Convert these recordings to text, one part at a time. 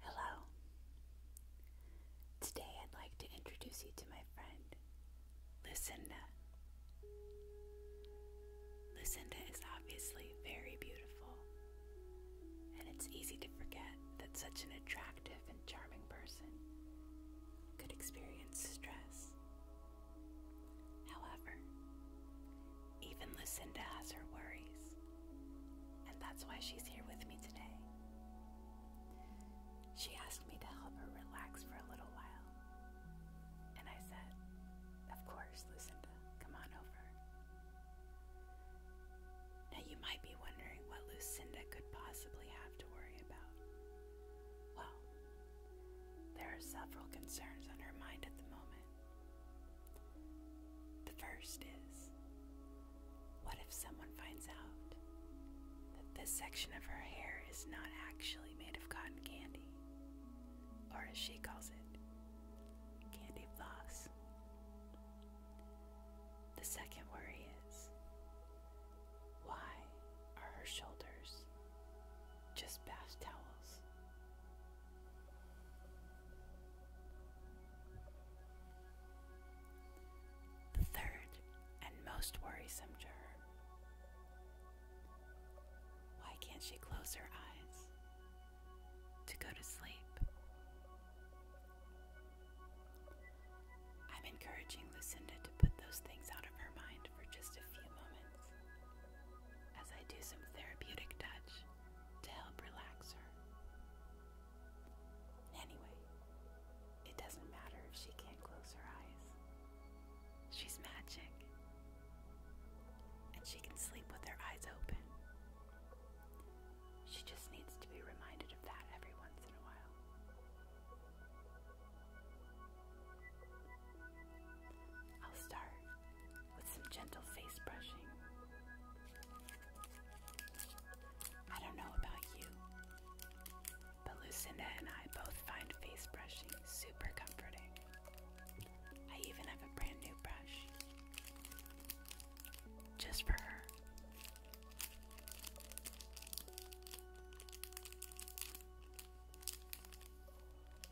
Hello. Today I'd like to introduce you to my friend, Lucinda. Lucinda is obviously very beautiful, and it's easy to forget that such an attractive and charming person could experience stress However, even Lucinda has her worries, and that's why she's here with me today. She asked me to help her relax for a little while, and I said, Of course, Lucinda, come on over. Now, you might be wondering what Lucinda could possibly have to worry about. Well, there are several concerns on her mind at the moment, the first is what if someone finds out that this section of her hair is not actually made of cotton candy, or as she calls it, candy floss? The second worry is why are her shoulders just bath towels? The third and most worrisome to Why can't she close her eyes to go to sleep? I'm encouraging Lucinda to put those things out of her mind for just a few moments as I do some therapeutic touch to help relax her. Anyway, it doesn't matter if she can't close her eyes. She's magic. And she can sleep with her eyes open. She just needs to be reminded of that every once in a while. I'll start with some gentle face brushing. I don't know about you, but Lucinda and I both find face brushing super comforting. I even have a brand new brush just for her.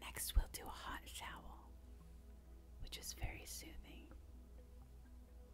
Next, we'll do a hot towel, which is very soothing.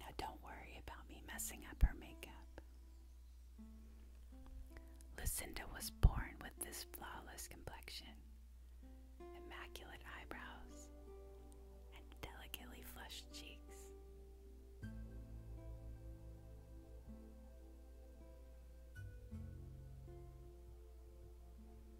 Now, don't worry about me messing up her makeup. Lucinda was born with this flawless complexion, immaculate eyebrows, and delicately flushed cheeks.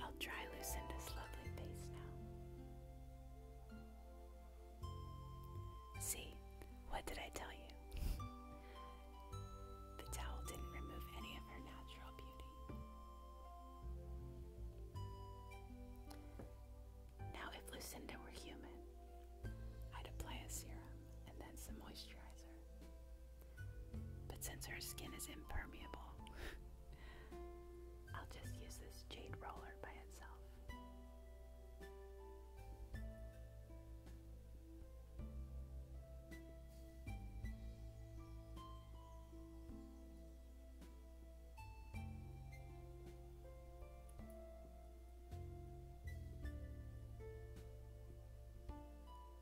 I'll dry Lucinda's lovely face now. See, what did I tell you? the towel didn't remove any of her natural beauty. Now, if Lucinda were human, I'd apply a serum and then some moisturizer. But since her skin is impermeable, I'll just use this jade roller by itself.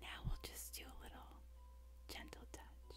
Now we'll just do a little gentle touch.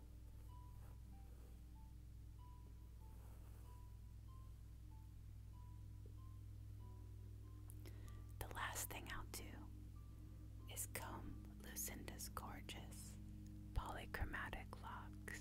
The last thing I'll do is comb Lucinda's gorgeous polychromatic locks.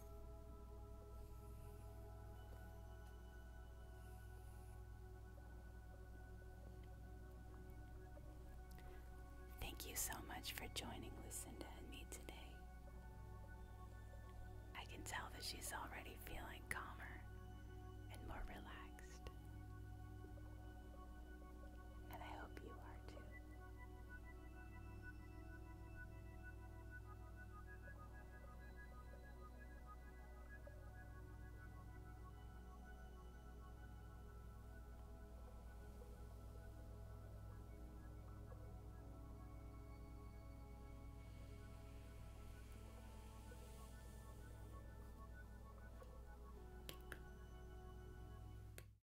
Thank you so much for joining Lucinda and me today. I can tell that she's already feeling calmer and more relaxed. And I hope you are too.